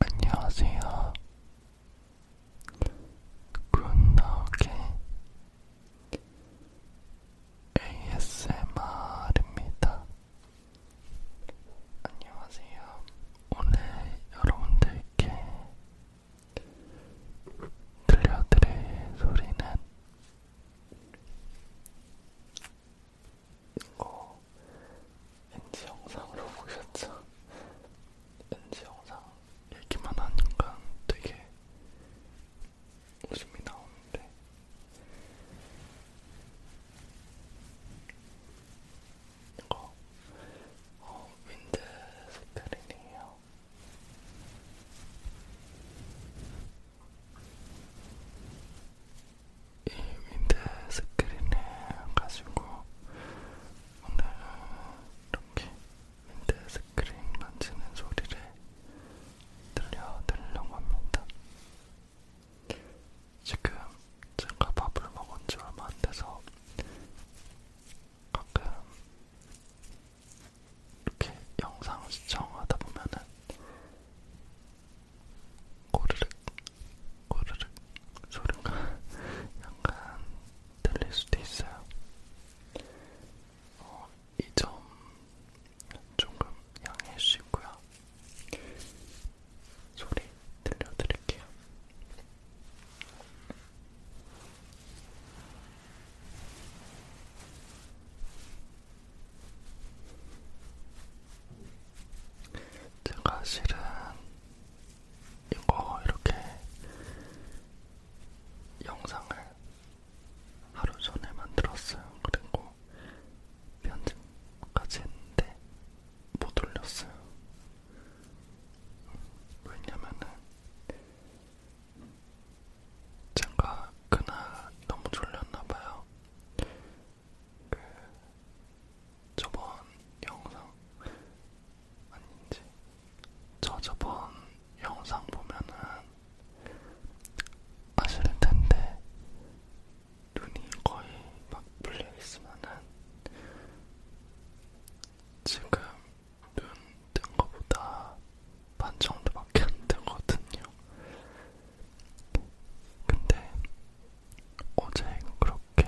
안녕하세요. 굿나오게 ASMR입니다. 안녕하세요. 오늘 여러분들께 들려드릴 소리는 이거 어, NG 영상으로 보셨죠? NG 영상 얘기만 하니까 되게 웃음이 나오는데 이거 어, 윈드 색깔이네요. 이 윈드스크린을 가지고 오늘은 이렇게 윈드스크린 만지는 소리를 들려드리려고 합니다. 지금 제가 밥을 먹은 지 얼마 안 돼서 가끔 이렇게 영상 시청하다 보면은 꼬르륵 꼬르륵 소리가 약간 들릴 수도 있어요. 어, 이점 조금 양해해 주시고요. 소리 들려드릴게요. 제가 실은 이거 이렇게 영상을 하루 전에 만들었어요. 그리고 편집까지 했는데 못 올렸어요. 왜냐면은 제가 그날 너무 졸렸나봐요. 그 저번 영상 아닌지 저 저번 영상 보면은 아실 텐데 눈이 거의 막 풀려 있으면은 지금 눈 뜬 거보다 반 정도밖에 안 되거든요. 근데 어제 그렇게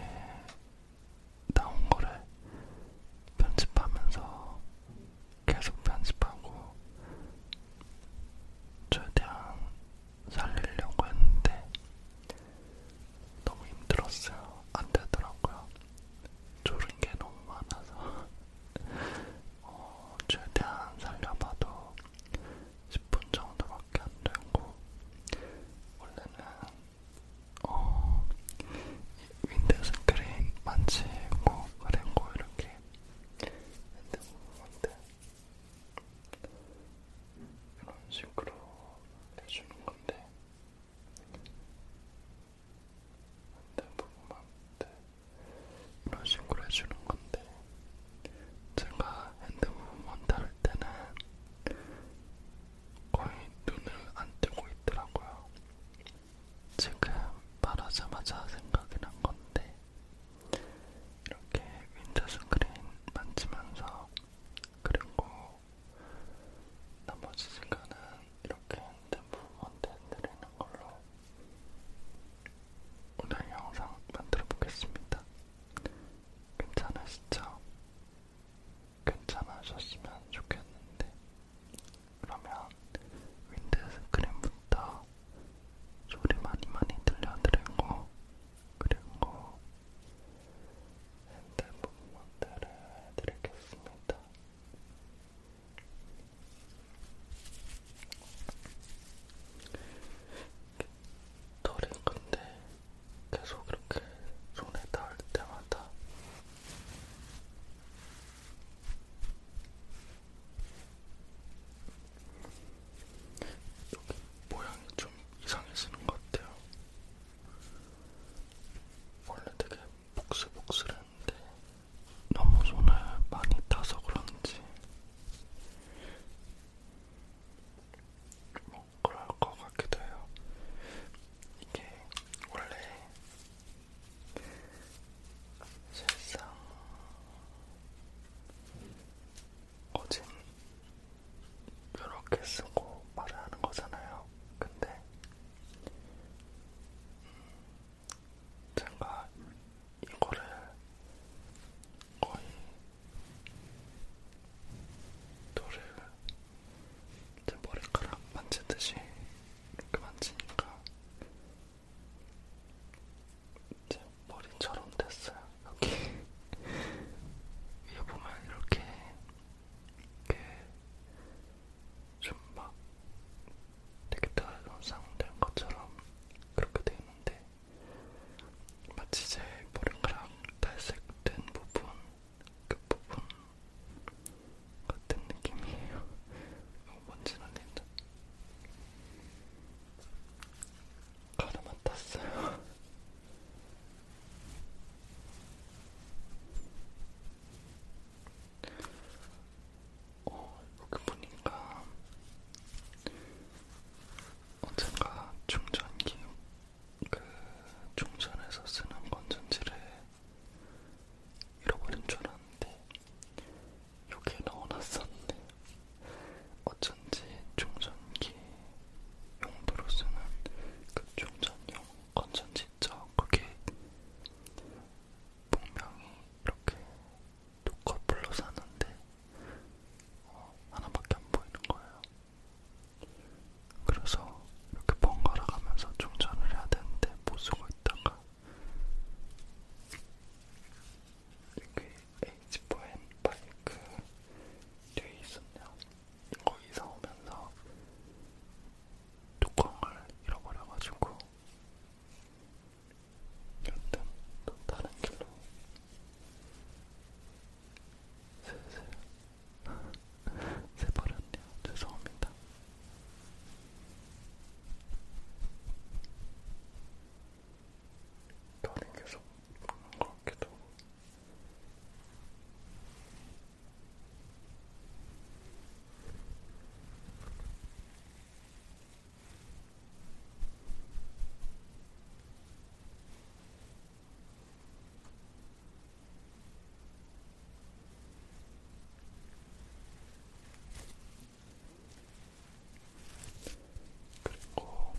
나온 거를 편집하면서 계속 편집하고 최대한 살리려고 했는데 너무 힘들었어요. 안 되더라고요. 졸은 게 너무 많아서 어, 최대한 살려봐도 10분 정도밖에 안 되고 원래는 어, 윈드 스크린 만지고 바르고 이렇게 핸드폰한테 이런 식으로 해주는 건데 핸드폰한테 이런 식으로 해주는 건데 제가 핸드폰만 다룰 때는 거의 눈을 안 뜨고 있더라고요. 지금 말하자마자 생각이 난 건데, 이렇게 윈드스크린 만지면서 그리고 나머지 시간은 이렇게 핸드폰 건드리는 걸로 오늘 영상 만들어 보겠습니다. 괜찮으시죠? 괜찮아졌으면 좋겠는데 그러면 윈드스크린부터 소리 많이 많이 들려드리고 그리고 핸드폰 모델을 드리겠습니다. 털이 근데 계속 이렇게 손에 닿을 때마다 여기 모양이 좀 이상해지는 것 같아요. 원래 되게 복슬복슬했는데 너무 손을 많이 타서 그런지 뭐 그럴 것 같기도 해요. 이게 원래 실상 어진 이렇게 쓰고 말을 하는 거잖아요. 근데 음, 제가 이거를 거의 돌을 제 머리카락 만지듯이 이렇게 만지니까 제 머리처럼 됐어요. 여기 위에 보면 이렇게 좀막 되게 다손상된 것처럼 그렇게 돼 있는데 마치 제 머리카락 탈색된 부분 끝부분 같은 느낌이에요. 너무 먼지 날린다. 가르마 땄어요. 어, 이렇게 보니까 언젠가 충전기 그 충전해서 쓰는 건전지를 잃어버린 줄 알았는데 여기에 넣어놨었는데 어쩐지 충전기 용도로 쓰는 그 충전용 건전지 있죠? 그게 분명히 이렇게 두컷 불러 샀는데 어, 하나밖에 안 보이는 거예요. 그래서 이렇게 번갈아 가면서 충전을 해야 되는데 못 쓰고 있다가 이게 H4N 바이크 뒤에 있었네요. 이거 이사 오면서 뚜껑을 잃어버려가지고 여튼 또 다른 길로 슬슬 새버렸네요. 죄송합니다. 돈이 계속 먹는 것 같기도 하고. 그리고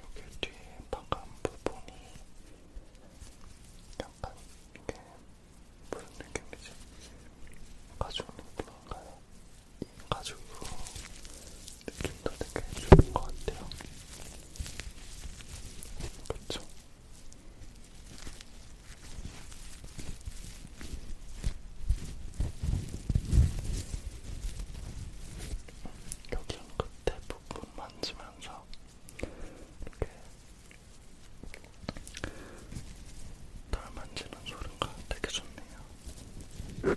여기 뒤에 방금 부분이 약간 이게 무슨 느낌이지? 가죽 느낌인가요? 이 가죽 느낌도 되게 좋은 것 같아요. 그쵸? 여기 끝에 부분 만지면서 이렇게 털 만지는 소리가 되게 좋네요.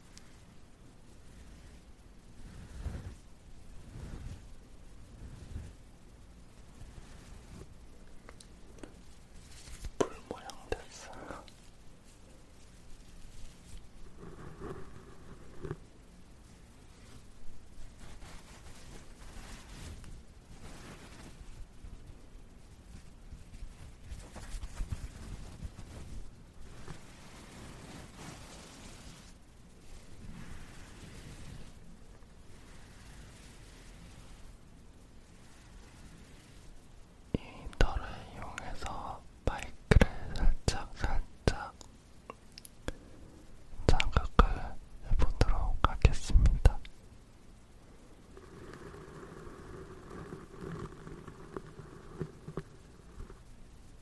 불 모양 됐어요. 이 털을 이용해서 마이크를 살짝 살짝 자극을 해보도록 하겠습니다.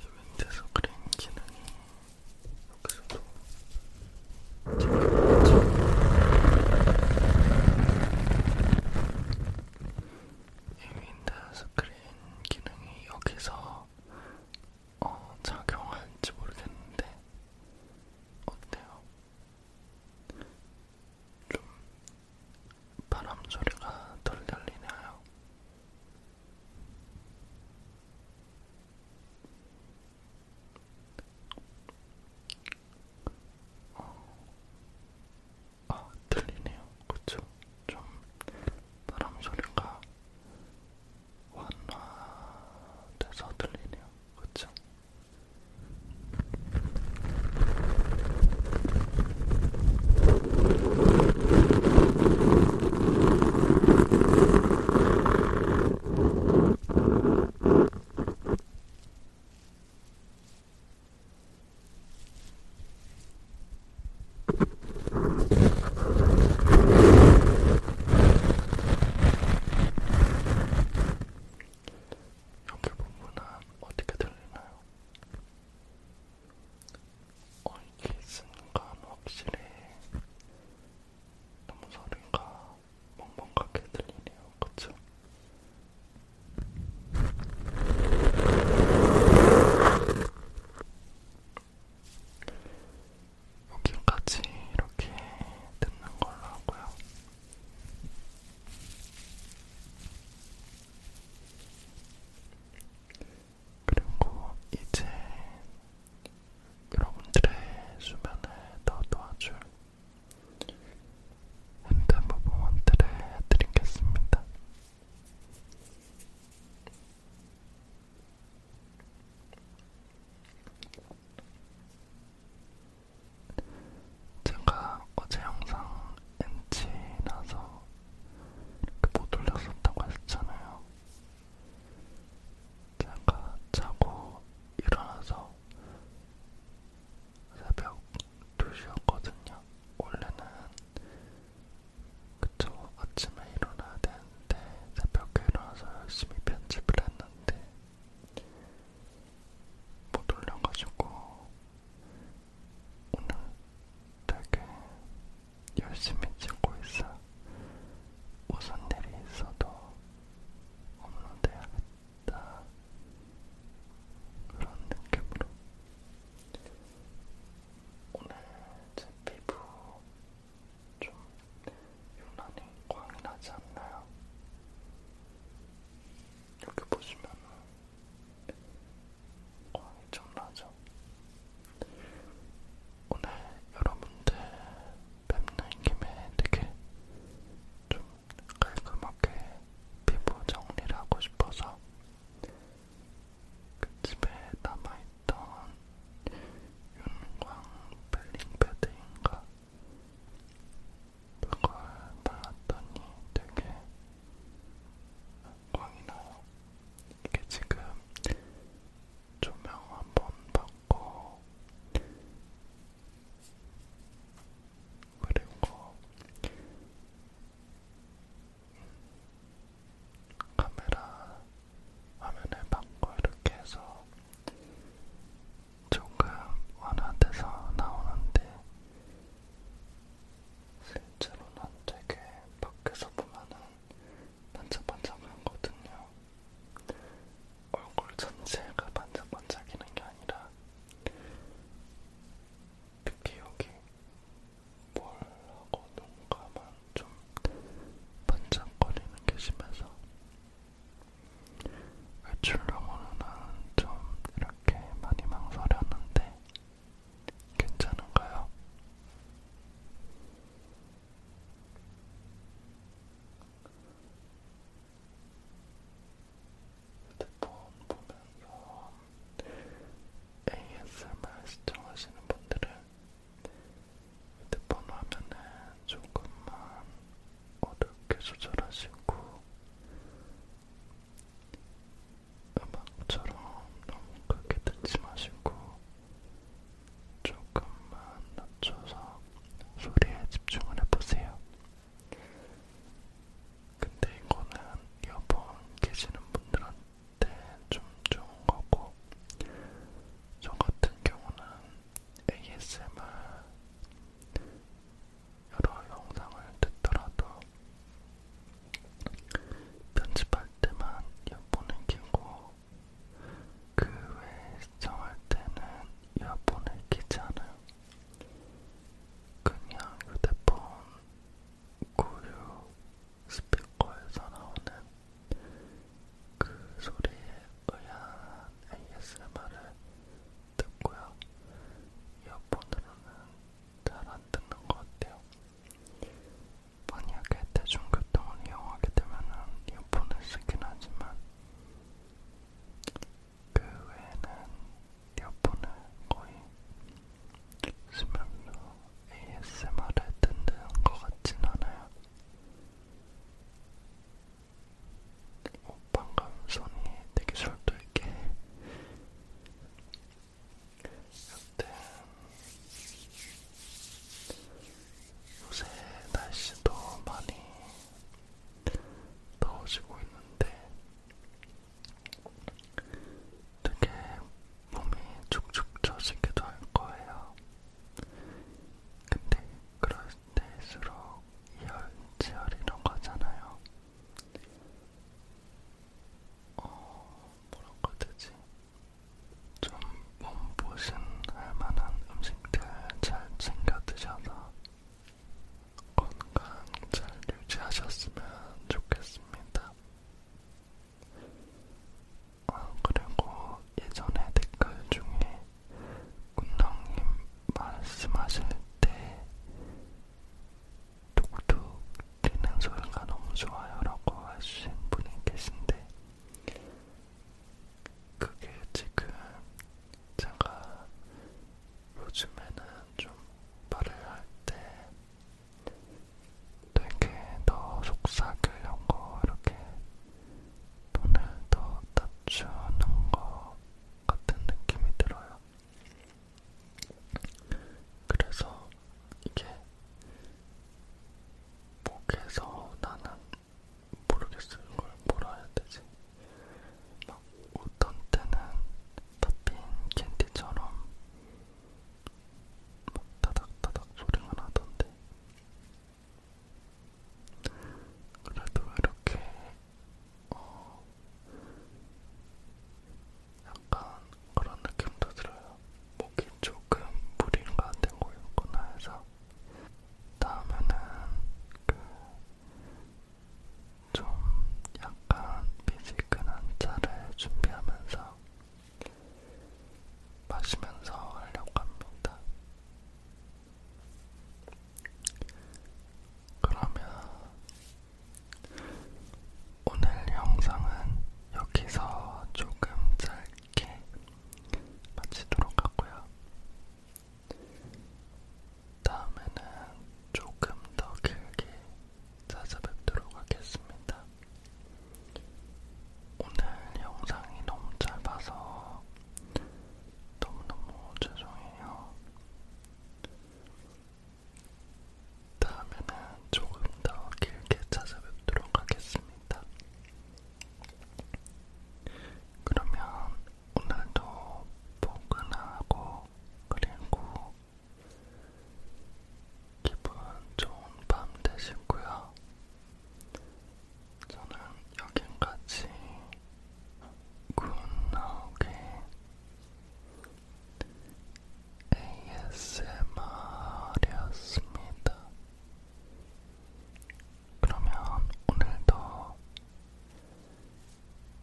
이벤트에서 그린 기능이 여기서도 지금 이 윈도우 스크린 기능이 여기서 어, 작용할지 모르겠는데 어때요? 좀 바람 소리가 덜 들리나요? 어, 아 들리네요. 그쵸? 좀 바람 소리가 완화돼서 들리네요. 그쵸? 여기 부분은 어떻게 들리나요? 어, 이게 있으니까 뭐 확실히 너무 소리가 멍멍하게 들리네요. 그쵸? 여기까지 이렇게 듣는 걸로 하고요. 그리고 이제 여러분들의 수면을 더 도와줄 핸드 무브먼트를 해드리겠습니다. 제가 어제 영상 엔치 나서 이렇게 못 올렸었다고 했잖아요. 제가 자고 일어나서 새벽 2시였거든요. 원래는 그쵸 아침에 일어나야 되는데 새벽에 일어나서 열심히 편집을 했는데 못 올려가지고 오늘 되게 열심히 찍고 있어 무슨 일이 있어도 없는데 야겠다 그런 느낌으로 오늘 제 피부 좀 유난히 광이 나지 않나요? 여기 보시면 광이 좀 나죠? 오늘 여러분들 뵙는 김에 되게 좀 깔끔하게 피부 정리를 하고 싶어서 그 집에 남아있던 윤광 벨링 패드인가 그걸 발랐더니 되게 광이 나요. 이게 지금 조명 한번 받고 그리고 카메라 화면을 바꿔 이렇게 해서 조금 완화돼서 나오는데 실제로는 되게 밖에서 보면은 반짝반짝하거든요. 얼굴 전체가 반짝반짝이는 게 아니라 특히 여기 볼하고 눈가만 좀 반짝거리는 게 심해서 외출용으로는 좀 이렇게 많이 망설였는데 괜찮은가요? 핸드폰 보면서 ASMR 시청하시는 분들은 핸드폰 화면을 조금만 어둡게 조절하시고 음악처럼 너무 크게 듣지 마시고 조금만 낮춰서 소리에 집중을 해보세요. 근데 이거는 여번 계시는 분들한테 땐좀 네, 좋은 거고, 저 같은 경우는 ASMR 여러 영상을 듣더라도 편집할 때만 이어폰을 끼고, 그 외에 시청할 때는 이어폰을 끼지 않아요. 그냥 휴대폰 고유 스피커에서 나오는 그 소리에 의한 ASMR을 듣고요. 이어폰으로는 잘 안 듣는 것 같아요. 만약에 대중교통을 이용하게 되면은 이어폰을 쓰긴 하지만 그 외에는 이어폰을 거의 쓰면서 ASMR을 듣는 것 같진 않아요. 어, 방금 손이 되게 솔도있게 여튼 요새 날씨도 많이 더워지고 있는데 되게 몸이 축축 처지기도 할 거예요. 근데 그럴 때일수록 이열치열이런 거잖아요. 어, 뭐라고 해야 되지? 좀 몸보신 할 만한 음식들 잘 챙겨 드셔서 건강 잘 유지하셨으면 좋겠습니다. 아, 그리고 예전에 댓글 중에 군랑님 말씀하실 때 툭툭 튀는 소리가 너무 좋아요 라고 해주신 분이 계신데 그게 지금 제가 요즘에는 좀 말을 할때 되게 더 속삭이려고 이렇게 돈을 더 낮추는 것 같은 느낌이 들어요. 그래서 이게 목에서 나는 모르겠어요. 이걸 뭐라 해야 되지? 막 웃던 때는 팝핀 캔디처럼 막 다닥다닥 소리가 나던데 그래도 이렇게 어 약간 그런 느낌도 들어요. 목이 조금 무리가 안 되고 있구나 해서 다음에는 그 좀 약간 미지근한 차를 준비하면서 마시면서 하려고 합니다. 그러면 오늘 영상은 여기서 조금 짧게 마치도록 하고요. 다음에는 조금 더 길게 찾아뵙도록 하겠습니다. 오늘 영상이 너무 짧아서 너무너무 죄송해요. 다음에는 조금 더 길게 찾아뵙도록 하겠습니다. 그러면 오늘도 포근하고 그리고 기분 좋은 밤 되시고요. 저는 여기까지 굿나오게 ASMR이었습니다. 그러면 오늘도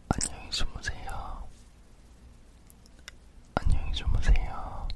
안녕히 주무세요. 안녕히 주무세요.